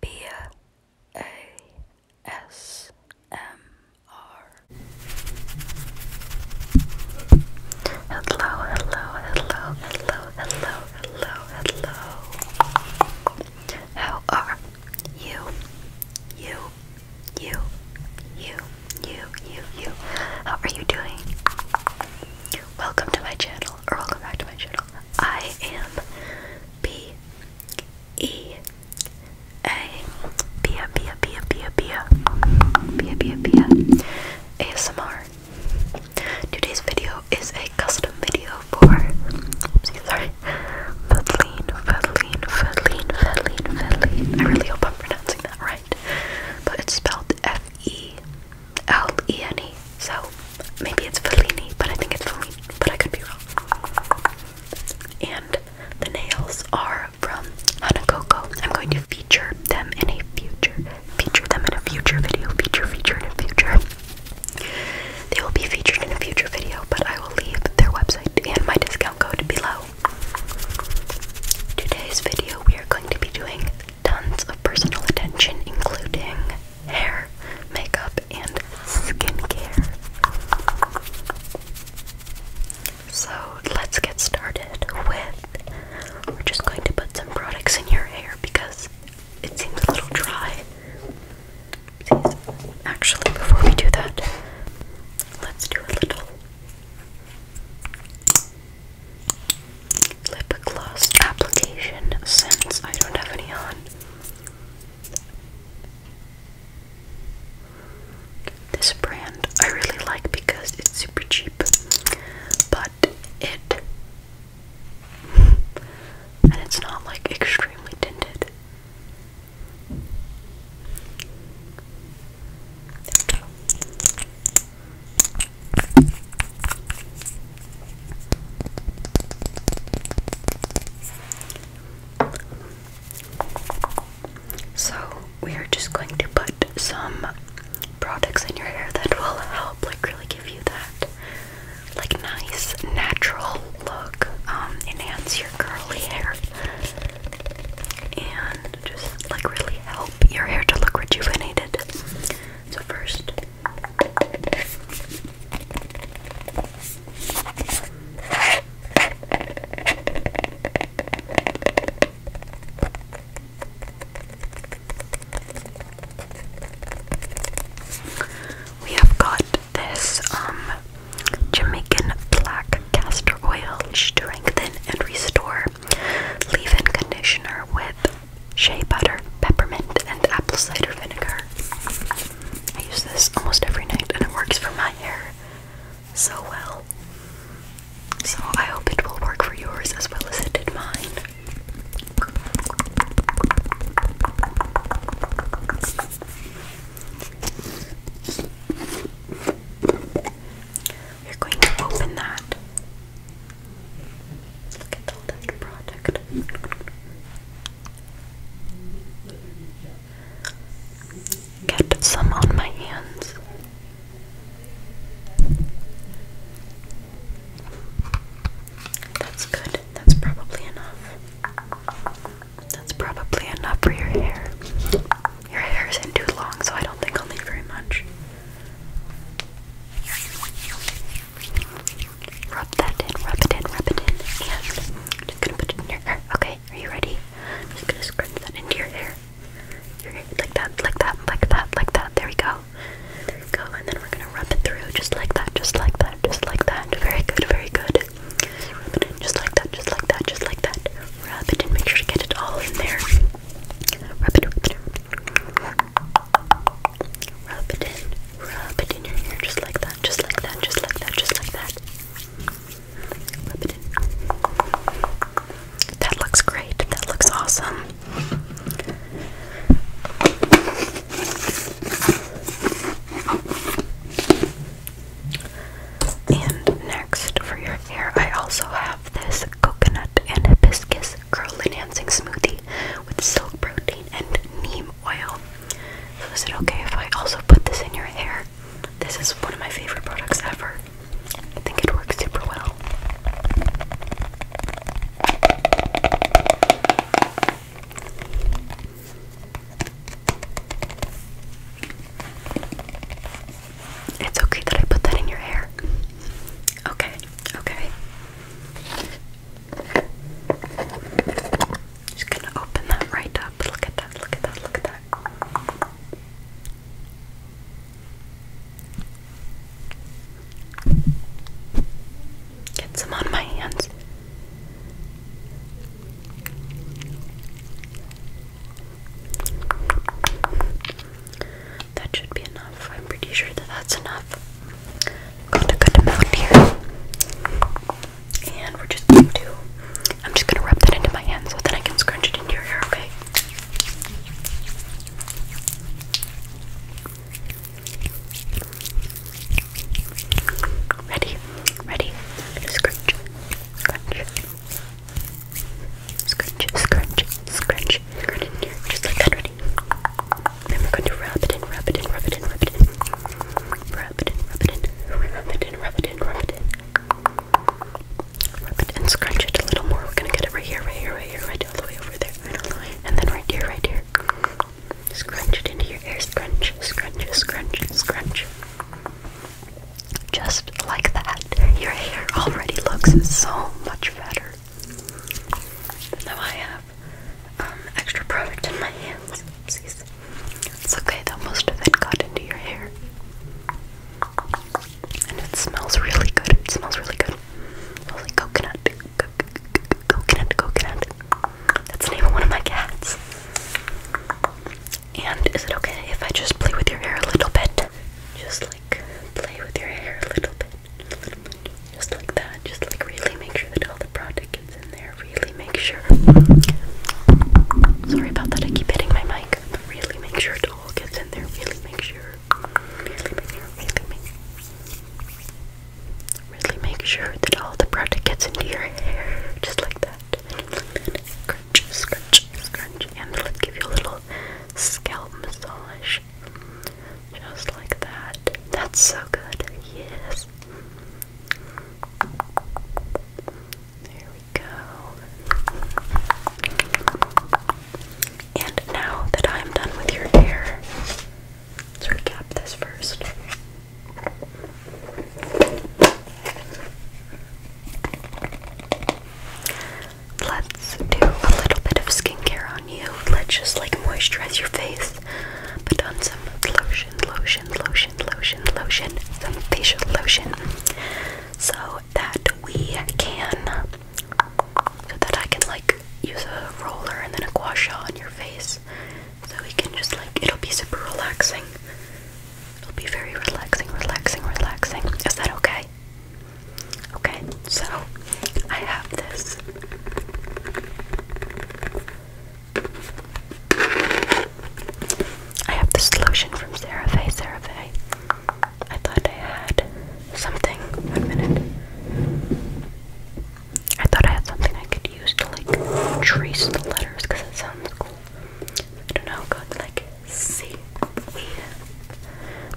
Beer Hello, hello, hello, hello, hello, hello, hello. How are you? You, you, you, you, you, you. How are you doing? Welcome to my channel, or welcome back to my channel. I am B E A Pia Pia Pia Pia Pia Pia Pia Pia ASMR. Today's video is a custom video for oopsie, sorry Feline Feline Feline Feline Feline. I really hope I'm pronouncing that right. But it's spelled F E L E N E. So maybe it's Fellini, but I think it's Fellini, but I could be wrong. And the nails are from Hanakoko. I'm going to feature them in a future, feature them in a future video, feature, feature in a future. They will be featured in a future video, but I will leave their website and my discount code below. Today's video, we are going to be doing tons of personal attention, including hair, makeup, and skincare. So let's get started with. We're just going to put some products in your hair because it seems a little dry. Actually, before we do that, let's do a little lip gloss application since I don't have any on. This brand I really like because it's super cheap, but it and it's not like extremely tinted. So, we are just going to put some products in your hair that will help, like, really give you that, like, nice, natural look, um, enhance your curly hair, and just, like, really help your hair to look rejuvenated. So, first, we have got this um, Jamaican black castor oil strengthen and restore leave-in conditioner with shea butter, peppermint, and apple cider vinegar. I use this almost every night and it works for my hair so well. So I hope it will work for yours as well as it did mine. you are going to open that Look at all product. Get some on my hands. That's good. That's probably enough. That's probably enough for your hair. Your hair isn't too long, so I don't think I'll need very much. Rub that in, rub it in, rub it in, and I'm just gonna put it in your hair. Okay, are you ready? I'm just gonna scrunch that into your hair. Your hair, like that, like that, like that, like that. There we go. There we go. And then we're gonna rub it through, just like that, just like that, just like that. Very good, very good. Rub it in, just like that, just like that, just like that. Rub it in. Make sure to get it all in there. Rub it, rub it. Rub it in. Rub it in your hair just like that. Just like that. Just like that. Just like that. Rub it in. That looks great. That looks awesome. And next for your hair, I also have this coconut and hibiscus curl enhancing smoothie with silk protein and neem oil. So is it okay if I also put this in your hair? This is one of my favorite products ever. I think it works super well. It's okay that I put that in your hair. Okay, okay. Just gonna open that right up. Look at that, look at that, look at that. Get some on my hands. That should be enough. I'm pretty sure that that's enough got a good amount here. And we're just going to, I'm just gonna rub that into my hand so that I can scrunch it into your hair, okay? Ready, ready, scrunch, scrunch, scrunch, scrunch, scrunch, scrunch just like that, ready? Then we're going to rub it in, rub it in, rub it in, rub it in. Rub it in, rub it in, rub it in, rub it in, rub it in. Rub it and scrunch it a little more. We're gonna get it right here, right here, right here, right all the way over there. Right all the way. And then right here, right here. Scrunch it into your hair. Scrunch, scrunch, scrunch, scrunch. Just like that. Your hair already looks so much better. Now I have um, extra product in my hands. It's okay though, most of got into your hair. And it smells really good. It smells really good. smells like coconut. coconut, coconut. That's the name of one of my cats. And is it okay if I just play with your hair a little bit? Just like play with your hair a little bit. Just like that. Just like really make sure that all the product gets in there. Really make sure. Sorry about that. I keep hitting my mic. really make sure it all gets in there. Really make sure. Really make sure. Really make sure that all the product gets into your hair. Just like that. Scrunch, scrunch, scrunch, and let's give you a little scalp massage. Just like that. That's so good. Yes. There we go. And now that I'm done with your hair, let's recap this first. Let's do a little bit of skincare Let's just like moisturize your face. Put on some lotion, lotion, lotion, lotion, lotion, some facial lotion. So that we can, so that I can like use a roller and then a gua sha on your face. So we can just like, it'll be super relaxing. It'll be very relaxing, relaxing, relaxing. Is that okay? Okay. So I have this. I have this lotion from CeraVe. CeraVe. I thought I had something. One minute. I thought I had something I could use to like trace the letters because it sounds cool. I don't know, got like C. -E.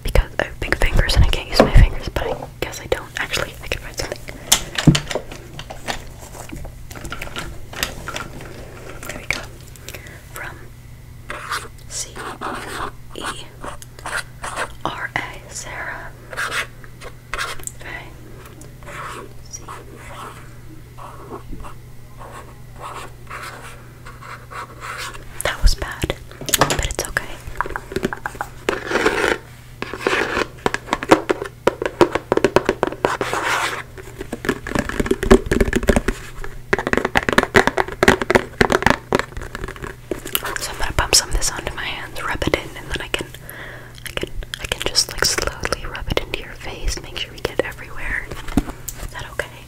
Because I have big fingers and I can't use my fingers, but I guess I don't actually, I can write something. There we go. From C E R A Sarah. Okay. C that was bad, but it's okay. So I'm gonna pump some of this onto my hands, rub it in, and then I can I can I can just like slowly rub it into your face, make sure we get everywhere. Is that okay?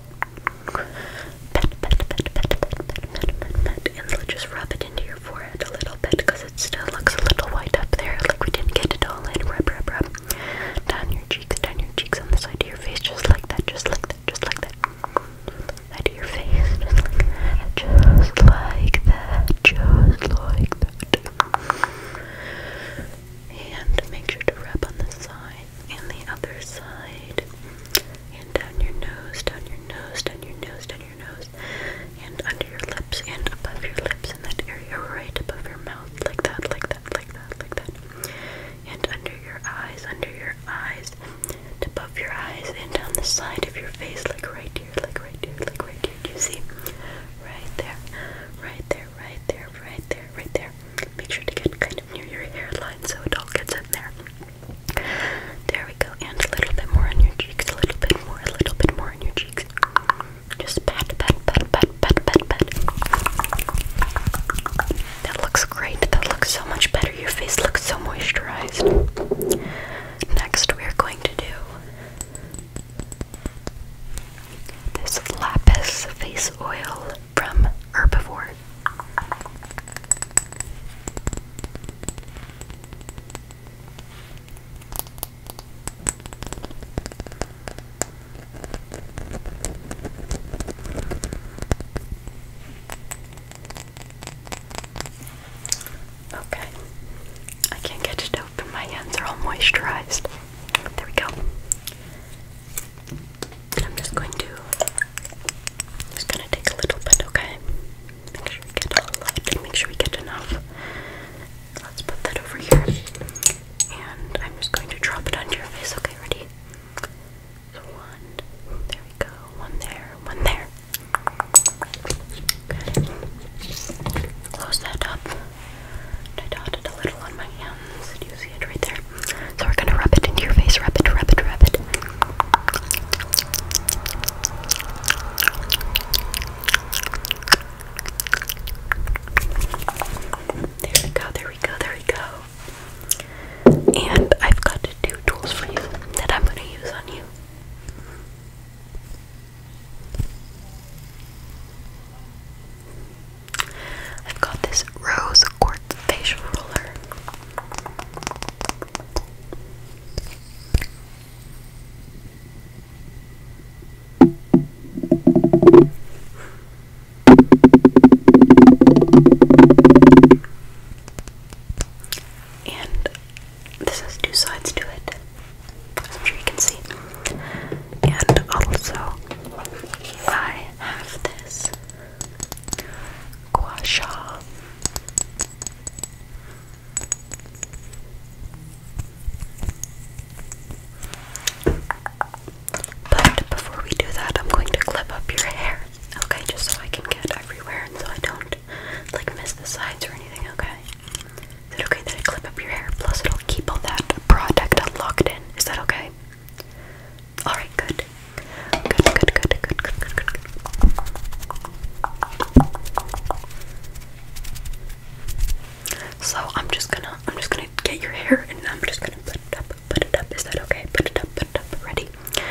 Pat, pat, pat, and just rub it into your forehead a little bit it still looks a little white up there, like we didn't get it all in. Rub, rub, rub. Down your cheeks, down your cheeks on the side of your face, just like that, just like that, just like that. Side your face, just like that, just like that. And make sure to rub on the side and the other side. And down your nose, down your nose, down your nose, down your nose, and under your lips, and above your lips, in that area right above your mouth, like that, like that, like that, like that. And under your eyes, under your eyes, and above your eyes, and down the side of your face, like right here, like right here, like right here. Do you see? Right there, right there, right there, right there, right there, Make sure to get kind of near your hairline so it all gets in there. There we go, and a little bit more on your cheeks, a little bit more, a little bit more on your cheeks. Just pat, pat, pat, pat, pat, pat. That looks great. That looks so much better. Your face looks so moisturized. Next, we are going to do this lapis face oil from Herbivore. Okay, I can't get it open. My hands are all moisturized. There we go. I'm just going to just gonna take a little bit, okay? Make sure we get all of it and make sure we get enough. Let's put that over here. And I'm just going to drop it onto your face, okay, ready? one, there we go, one there, one there. Close that up. I dotted a little on my hands see it right there. So we're gonna rub it into your face, rub it, rub it, rub it. There we go, there we go, there we go. And I've got two tools for you that I'm gonna use on you. I've got this rose quartz facial roller. And this has two sides to it, I'm sure you can see. And also, I have this Guasha. But before we do that, I'm going to clip up your hair, okay? Just so I can get everywhere and so I don't like miss the sides or anything, okay? Is it okay that I clip up your hair? Plus, it'll keep all that product locked in. Is that okay? Alright, good. Good, good, good, good, good, good, good. So I'm just gonna I'm just gonna get your hair and I'm just gonna put it up, put it up. Is that okay? Put it up, put it up, ready? So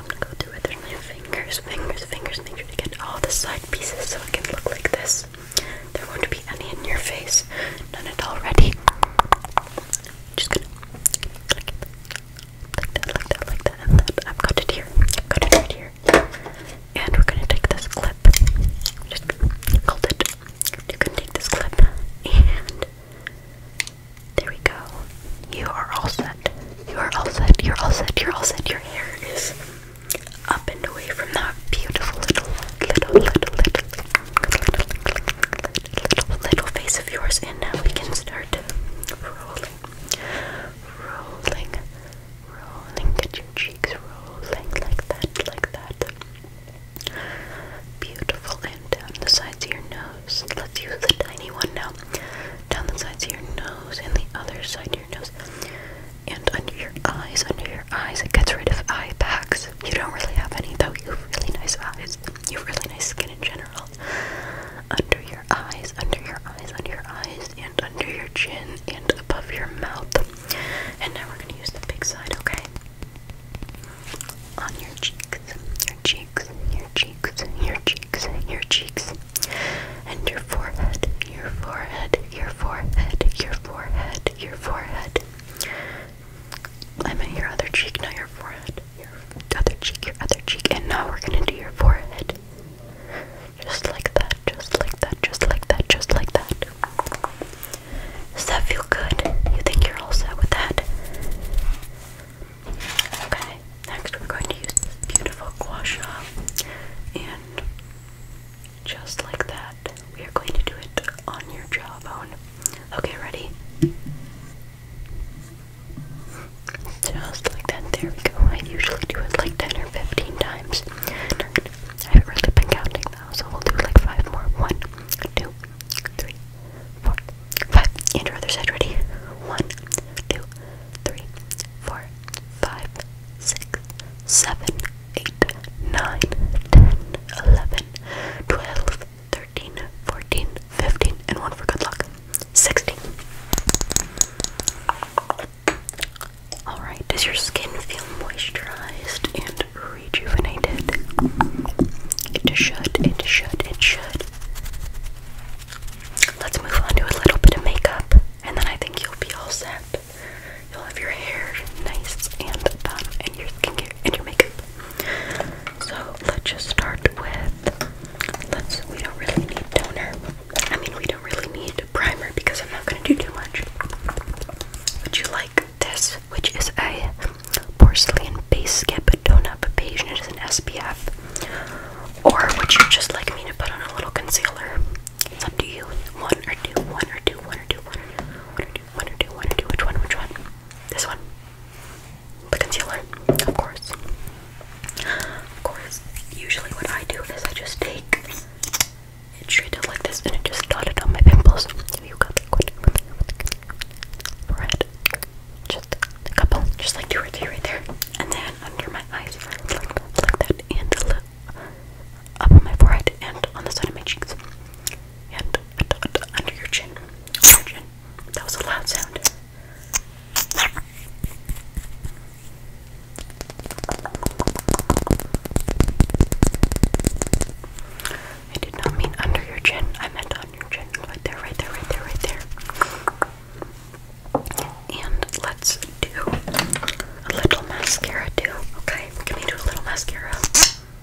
I'm gonna go through it. There's my fingers, fingers, fingers, make sure to get all the side pieces so it can look like this. There won't be any in your face. None at all ready just gonna click it like that, like that, like that, I've got it here. I've got it right here. And we're gonna take this clip. Just hold it. You can take this clip and there we go. You are all set. You are all set. You're all set. You're all set. Your hair is up and away from that beautiful little, little, little, little little face of yours, and now we can start rolling, rolling, rolling. Get your cheeks rolling like that, like that. Beautiful, and down the sides of your nose. Let's use the tiny one now. Down the sides of your nose and the other side of your nose. And under your eyes, under your eyes, it gets rid of eye bags. You don't really have any, though. You have really nice eyes. You have really nice skin in general. Under your eyes, under your eyes, under your eyes, and under your chin, and above your mouth. And now we're going to use the big side, okay? On your cheeks, your cheeks, your cheeks, your cheeks, your cheeks, and your forehead, your forehead, your forehead, your forehead, your forehead. I meant your other cheek, not your forehead. Your other cheek, your other cheek, and now we're gonna do your forehead. Just like that, just like that, just like that, just like that. Does that feel good? You think you're all set with that? Okay, next we're going to use this beautiful gua sha and just like that we are going to do it on your jawbone. Okay, ready? Just like that. There we go. I usually do it like 10 or 15 times. I haven't really been counting though, so we'll do like 5 more. 1, And your other side, ready? 1, 13, and one for good luck. 16. Alright, does your skin feel moisturized and rejuvenated? It should, it should, it should. Let's move on to a little bit of makeup, and then I think you'll be all set. You'll have your hair nice and done, and your skincare and your makeup so let's just start with let's we don't really need toner. I mean we don't really need primer because I'm not gonna do too much. Would you like this, which is a porcelain base skip tone-up page and it is an SPF? Or would you just like me to put on a little concealer? It's up to you. One or two, one or two, one or two, one or two, one or two, one or two, one or two, one or two. which one, which one? This one. The concealer, of course. Of course, usually what I do is I just take it straight up like this and it just dot it on my pimples. You got liquid. Red. Just a couple. Just like two or three right there. And then under my eyes, like that, and up on my forehead and on the side of my cheeks and under your chin. That was a loud sound. I did not mean under your chin. I meant on your chin. Right there, right there, right there, right there. And let's do a little mascara too. Okay, can we do a little mascara?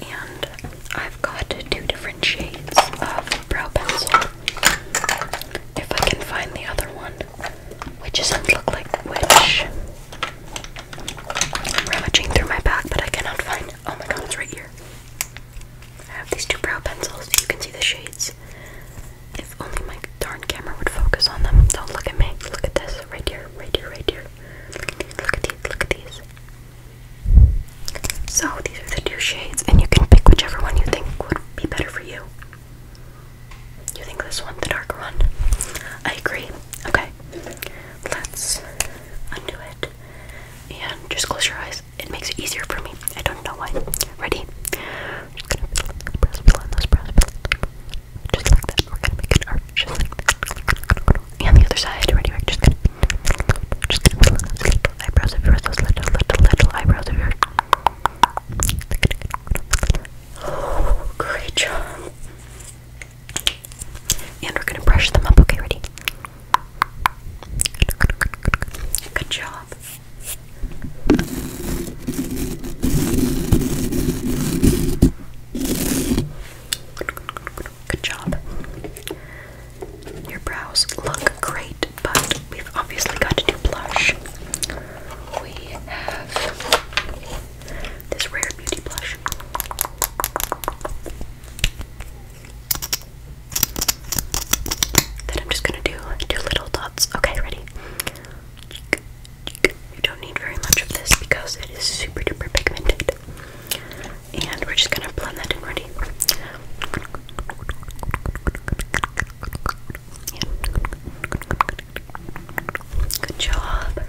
And I've got two different shades of brow pencil. If I can find the other one, which doesn't look like which. I'm rummaging through my bag, but I cannot find. Oh my god, it's right here. I have these two brow pencils. You can see the shades. If only my darn camera would focus on them. Don't look at me. Look at this. Right here, right here, right here. Look at these. Look at these. So these are the two shades, and you can pick whichever one you think would be better for you. You think this one, the darker one? I agree. Okay, let's undo it and just close your eyes. It makes it easier for me. I don't know why. Ready? just gonna press, press, press, press, press, just like that. We're gonna make an arch, just like that and the other side. Ready? just gonna, just gonna little, little eyebrows little, little, little eyebrows Oh, great job. And we're gonna brush them up. Okay, ready? Good job. Good job. Your brows look great, but we've obviously got to do blush. We have this Rare Beauty blush. Then I'm just gonna do two little dots. Okay, ready? You don't need very much of this because it is super duper pigmented and we're just gonna blend that in ready. Good job.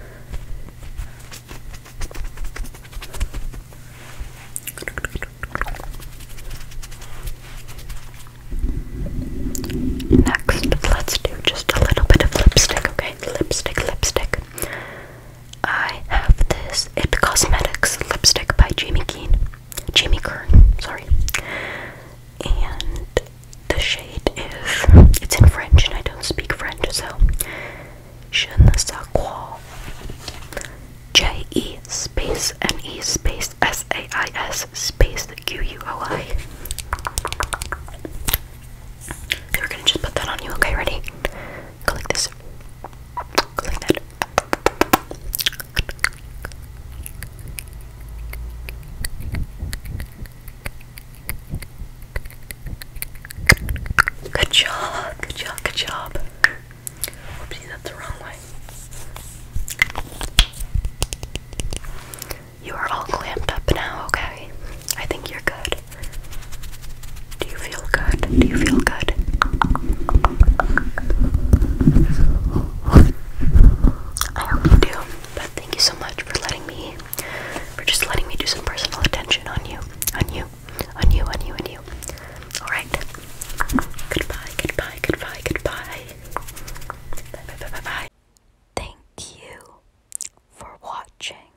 Next, let's do just a little bit of lipstick, okay? Lipstick, lipstick. I have this It Cosmetics lipstick by Jamie Keen. Jamie Kern, sorry. And the shade is it's in French and I don't speak French, so Je ne sais quoi. J E space N E space S A I S space the Q U O I. we're gonna just put that on you, okay? Ready? Go like this. Good job, good job, good job. Oopsie, that's the wrong way. You are all clamped up now, okay? I think you're good. Do you feel good? Do you feel good? I do. But thank you so much for letting me for just letting me do some personal attention on you. On you. On you, on you, on you. Alright. Goodbye, goodbye, goodbye, goodbye. Bye bye bye bye bye. Thank you for watching.